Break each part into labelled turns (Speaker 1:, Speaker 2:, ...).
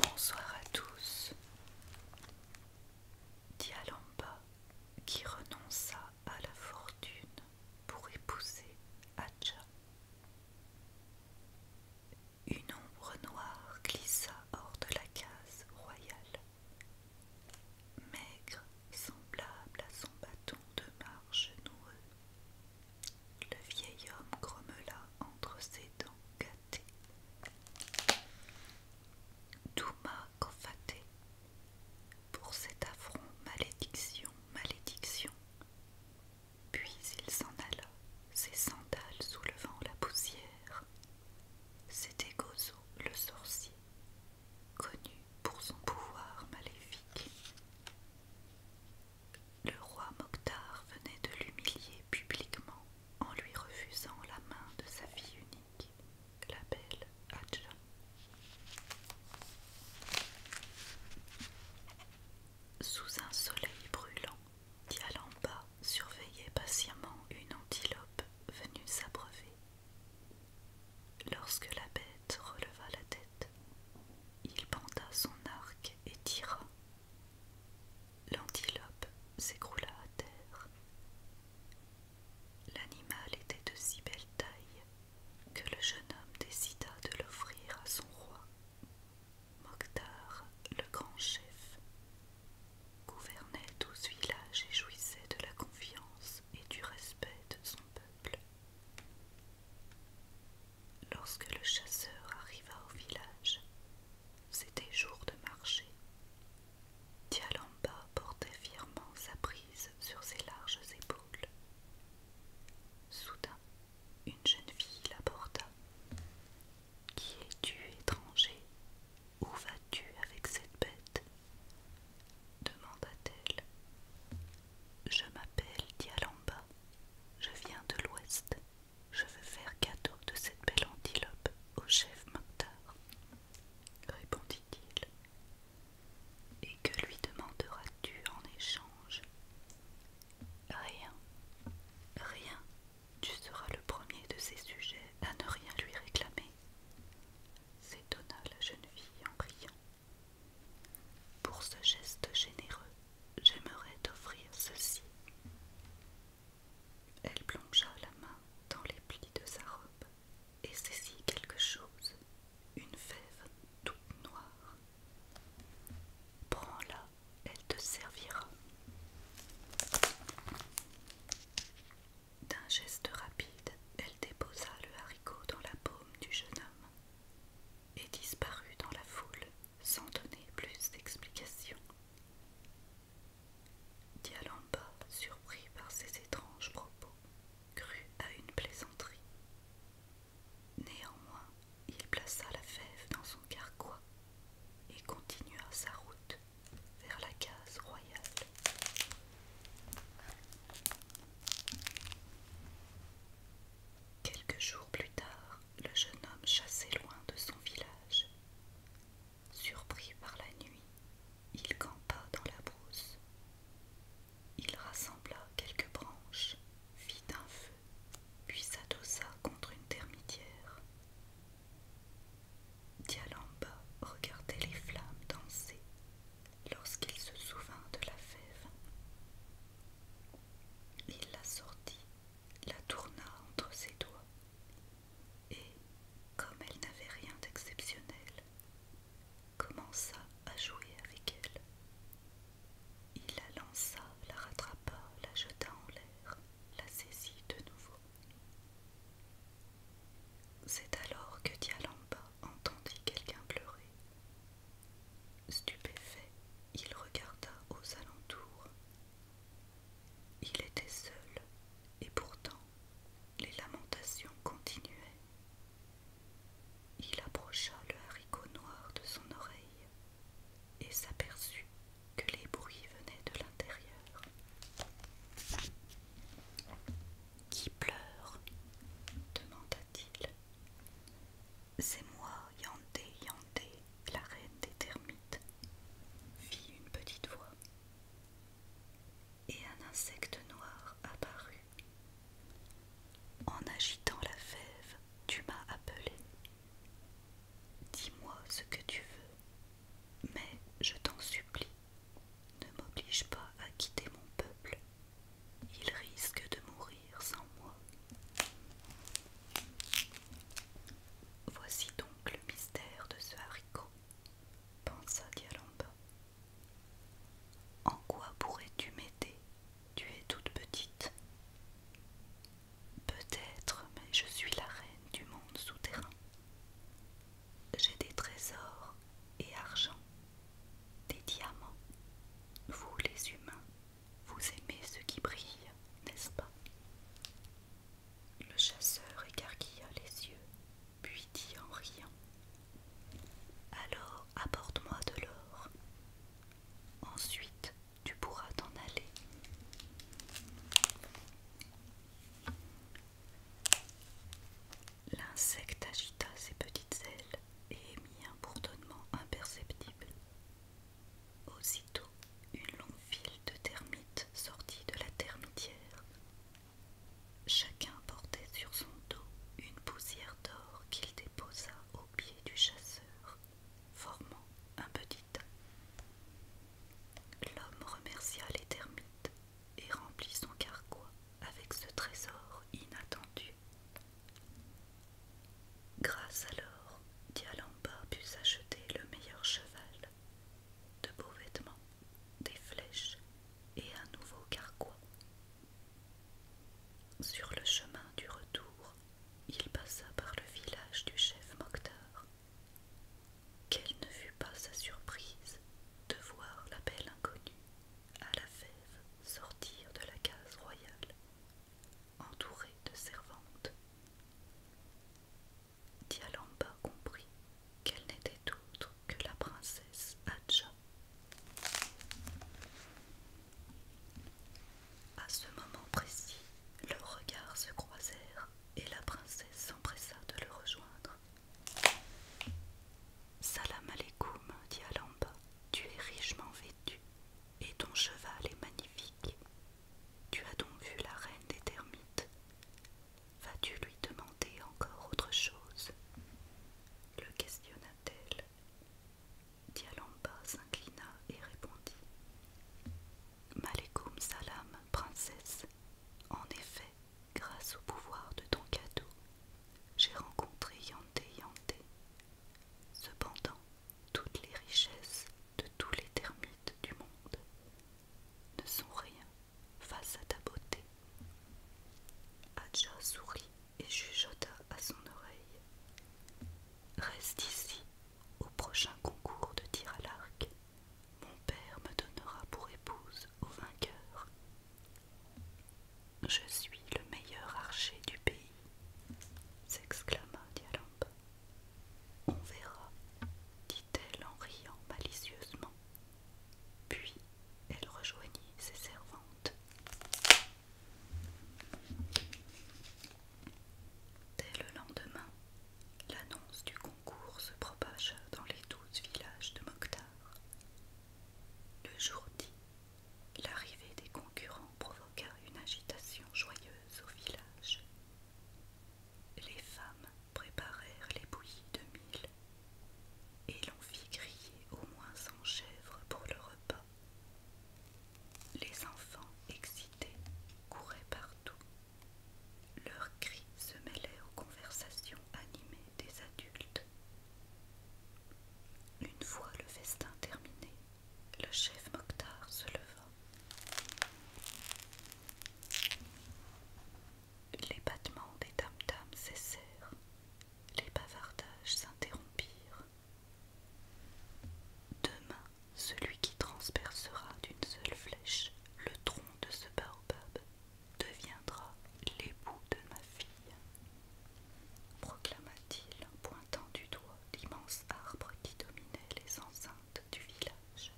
Speaker 1: Bonsoir à tous. Dialamba, qui renonça à la fortune pour épouser Adja Une ombre noire glissa hors de la case royale maigre, semblable à son bâton de marche noueux. Le vieil homme grommela entre ses dents gâtées. Douma cofaté pour cet affront, malédiction, malédiction. Puis il s'en alla, ses sandales soulevant la poussière. C'était Gozo le sorcier, connu pour son pouvoir maléfique. Le roi Mokhtar venait de l'humilier publiquement en lui refusant la main de sa fille unique, la belle Adja Sous un soleil brûlant, qui en bas surveillait patiemment une antilope venue s'abreuver. Lorsque la bête releva la tête, il panda son arc et tira. L'antilope s'écroula à terre. L'animal était de si belle taille que le jeune homme décida de l'offrir à son roi. Mokhtar, le grand chef, gouvernait douze villages et jouissait de la confiance et du respect de son peuple. Lorsque le chasseur arriva au village, c'était jour de marché. Dialamba portait fièrement sa prise sur ses larges épaules. Soudain, une jeune fille l'apporta. Qui es-tu, étranger où vas-tu avec cette bête demanda-t-elle. Je m'appelle Dialamba. Je viens de l'ouest. Je veux faire cadeau de cette belle antilope au chef Mokhtar, répondit-il. Et que lui demanderas-tu en échange Rien, rien, tu seras le premier de ces sujets à ne rien lui réclamer, s'étonna la jeune fille en riant. Pour ce geste généreux, j'aimerais t'offrir ceci. Elle plongea la main dans les plis de sa robe et saisit quelque chose, une fève toute noire. Prends-la elle te servira. D'un geste rapide, elle déposa le haricot dans la paume du jeune homme et disparut dans la foule sans donner plus d'explications. Dialamba, surpris par ces étranges propos, crut à une plaisanterie. Néanmoins, il plaça la fève dans son carquois et continua sa route vers la case royale. Quelques jours plus tard, le jeune homme chassait loin de son village. Surpris par la nuit, il campa dans la brousse. Il rassembla quelques branches, fit un feu, puis s'adossa contre une termitière. Dialamba regardait les flammes danser lorsqu'il se souvint de la fève. Il la sortit, la tourna entre ses doigts, et, comme elle n'avait rien d'exceptionnel, commença à jouer avec elle. Il la lança, la rattrapa, la jeta en l'air, la saisit de nouveau. C'est alors que Dialamba entendit quelqu'un pleurer. Stupéfait, il regarda aux alentours. Il était seul, et pourtant les lamentations continuaient. Il approcha le haricot noir de son oreille et s'aperçut que les bruits venaient de l'intérieur. Qui pleure demanda-t-il. C'est moi, Yandé, Yandé, la reine des termites, fit une petite voix. Et un insecte noir apparut. En agitant la fève, tu m'as appelé. Dis-moi ce que tu veux, mais je t'en supplie, ne m'oblige pas à quitter mon peuple. Il risque de mourir sans moi. Voici donc le mystère de ce haricot, pensa Dialamba. En quoi pourrais-tu m'aider Tu es toute petite. Peut-être, mais je suis la reine du monde souterrain. J'ai des trésors et argent, des diamants. Vous, les humains, vous aimez ce qui brille, n'est-ce pas Le chasseur écarquilla les yeux, puis dit en riant Alors, apporte-moi de l'or. Ensuite, tu pourras t'en aller. L'insecte agita ses petites ailes et émit un bourdonnement imperceptible. Aussitôt, une longue file de termites sortit de la termitière. Chacun portait sur son dos une poussière d'or qu'il déposa au pied du chasseur formant un petit tas. L'homme remercia les termites et remplit son carquois avec ce trésor inattendu. Grâce alors, Dialamba put s'acheter le meilleur cheval, de beaux vêtements, des flèches et un nouveau carquois. Sur le chemin du retour, il passa par le village du chef Mokhtar. Quelle ne fut pas sa surprise de voir la belle inconnue à la fève sortir de la case royale, entourée de servantes. Dialamba comprit qu'elle n'était autre que la princesse Adja à ce moment précis, leurs regards se croisèrent et la princesse s'empressa de le rejoindre. Salam alaikum, dit Alamba, tu es richement vêtu et ton cheval est magnifique. Tu as donc vu la reine des termites. Vas-tu lui demander encore autre chose Le questionna-t-elle. Dialamba s'inclina et répondit Malekoum salam, princesse. En effet, grâce au pouvoir de ton cadeau, j'ai rencontré Yanté Yanté. Cependant, toutes les richesses de tous les termites du monde ne sont rien face à ta beauté. Adja sourit et chuchota à son oreille Reste ici au prochain concours de tir à l'arc, mon père me donnera pour épouse au vainqueur. Je suis le meilleur archer du pays, s'exclama Dialampe. On verra, dit-elle en riant malicieusement. Puis elle rejoignit ses servantes. Dès le lendemain, l'annonce du concours se propagea dans les douze villages de Mokhtar. Le jour dit, l'arrivée des concurrents provoqua une agitation joyeuse au village. Les femmes préparèrent les bouillies de mille et l'on fit crier au moins cent chèvres pour le repas. Les enfants excités couraient partout. Leurs cris se mêlaient aux conversations animées des adultes. Une fois le festin terminé, le chef Mokhtar se leva. Les battements des tam-tams cessèrent, les bavardages s'interrompirent, Demain, celui qui transpercera d'une seule flèche le tronc de ce baobab deviendra l'époux de ma fille, proclama-t-il pointant du doigt l'immense arbre qui dominait les enceintes du village.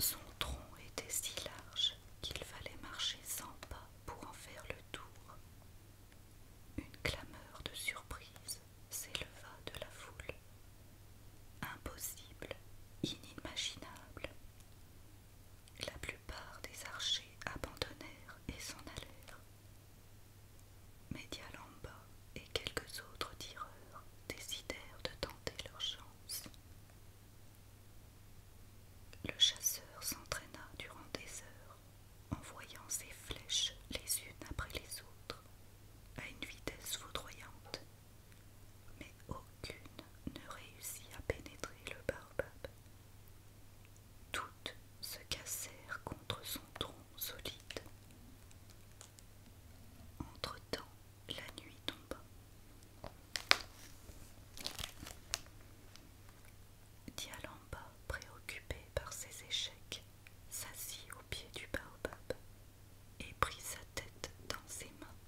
Speaker 1: Son tronc était si large qu'il fallait marcher sans pas pour en faire le tour. Une clameur de surprise s'éleva de la foule. Impossible, inimaginable. La plupart des archers abandonnèrent et s'en allèrent. Médialamba et quelques autres tireurs décidèrent de tenter leur chance. Le chasseur s'entraîna durant des heures en voyant ses flèches les unes après les autres, à une vitesse foudroyante, mais aucune ne réussit à pénétrer le baobab. Toutes se cassèrent contre son tronc solide. Entre-temps, la nuit tomba. Dialamba, préoccupé par ses échecs, s'assit au pied du baobab et prit sa tête dans ses mains.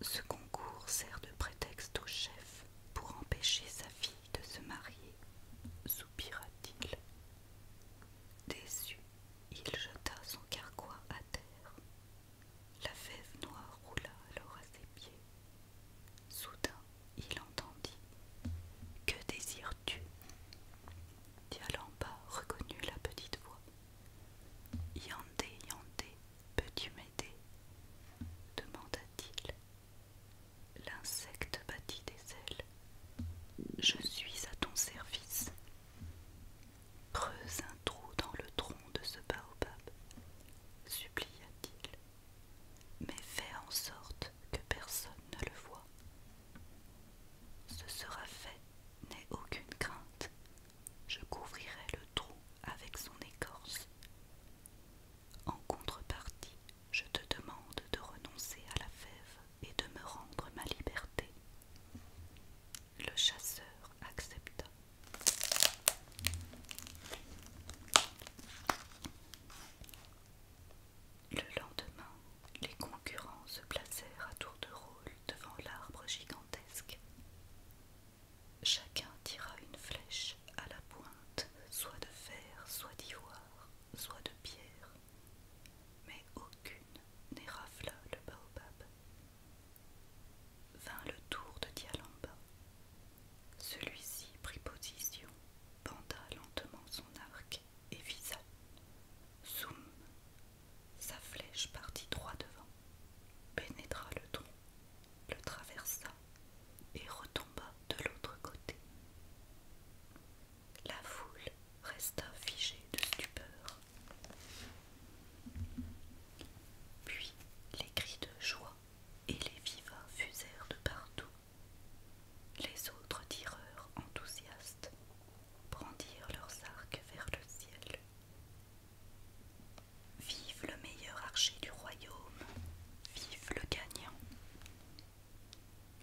Speaker 1: Ce concours sert de prétexte au chef pour empêcher sa fille de se marier, soupira-t-il. Déçu, il jeta son carquois à terre la fève noire roula alors à ses pieds. Soudain, il entendit. Que désires-tu Dialamba reconnut la petite voix. Yandé, Yandé, peux-tu m'aider demanda-t-il. L'insecte battit des ailes. Je suis à ton service. Creuse trou dans le tronc de ce baobab, supplia-t-il, mais fais en sorte que personne ne le voie. Ce sera fait, n'aie aucune crainte, je couvrirai le trou avec son écorce. En contrepartie, je te demande de renoncer à la fève et de me rendre ma liberté. Le chasseur accepta. Le lendemain, les concurrents se placèrent à tour de rôle devant l'arbre gigantesque. Chacun tira une flèche à la pointe, soit de fer, soit d'ivoire, soit de pierre, mais aucune n'érafla le baobab. Vint le tour de Dialamba. Celui-ci prit position, Banda lentement son arc et visa. Zoom Sa flèche partit droit devant, pénétra le tronc, le traversa et retomba de l'autre côté. La foule resta figée de stupeur. Puis les cris de joie et les vivas fusèrent de partout. Les autres tireurs enthousiastes brandirent leurs arcs vers le ciel. Vive le meilleur archer du royaume, vive le gagnant.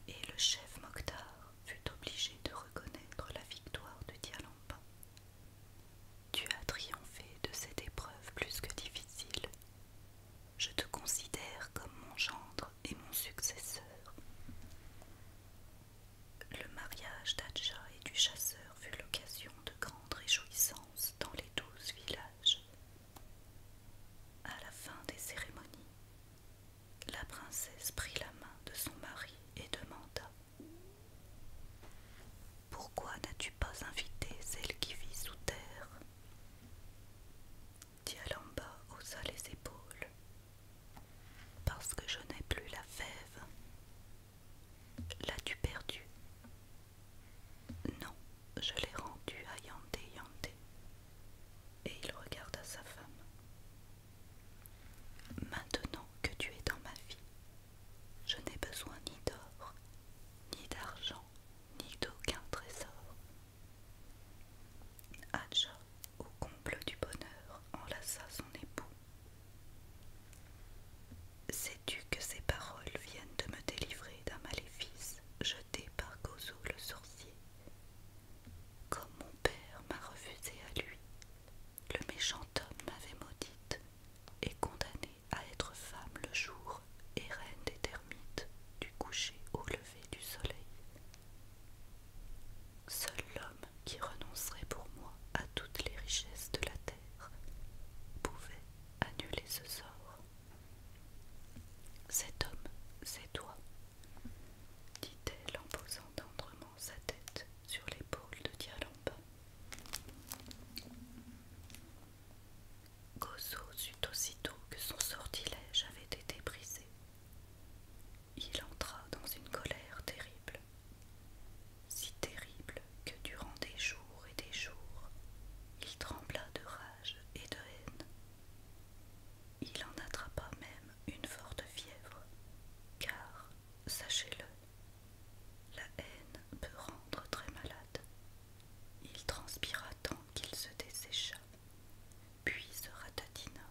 Speaker 1: Et le chef Mokhtar fut obligé de reconnaître la victoire de Dialampa, tu as triomphé de cette épreuve plus que difficile. Je te considère comme mon gendre et mon successeur. Le mariage d'Adja et du chasseur fut l'occasion de grandes réjouissances dans les douze villages. À la fin des cérémonies, la princesse prit la main de son mari et demanda pourquoi n'as-tu pas invité celle qui vit sous terre Dialamba haussa les épaules. Parce que je n'ai plus la fève. L'as-tu perdue Non, je l'ai rendue à Yandé Yandé. Et il regarda sa femme. Maintenant que tu es dans ma vie, je n'ai besoin ni d'or, ni d'argent, ni d'aucun trésor. Adja, au comble du bonheur, enlaça son époux. Sais-tu que ces paroles viennent de me délivrer d'un maléfice jeté par Gozo le sorcier Comme mon père m'a refusé à lui, le méchant homme m'avait maudite et condamnée à être femme le jour et reine des termites, du coucher au lever du soleil. Seul l'homme qui renoncerait pour moi à toutes les richesses de la terre pouvait annuler ce sort. Cet homme, c'est toi, dit-elle en posant tendrement sa tête sur l'épaule de Dialamba. Gozo sut aussitôt que son sortilège avait été brisé. Il entra dans une colère terrible, si terrible que durant des jours et des jours, il trembla de rage et de haine. Il en attrapa même une forte fièvre, car, sachez-le, la haine peut rendre très malade. Il transpira tant qu'il se dessécha, puis se ratatina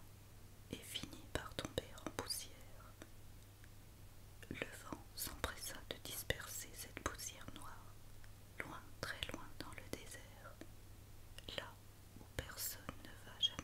Speaker 1: et finit par tomber en poussière. Le vent s'empressa de disperser cette poussière noire, loin, très loin dans le désert, là où personne ne va jamais.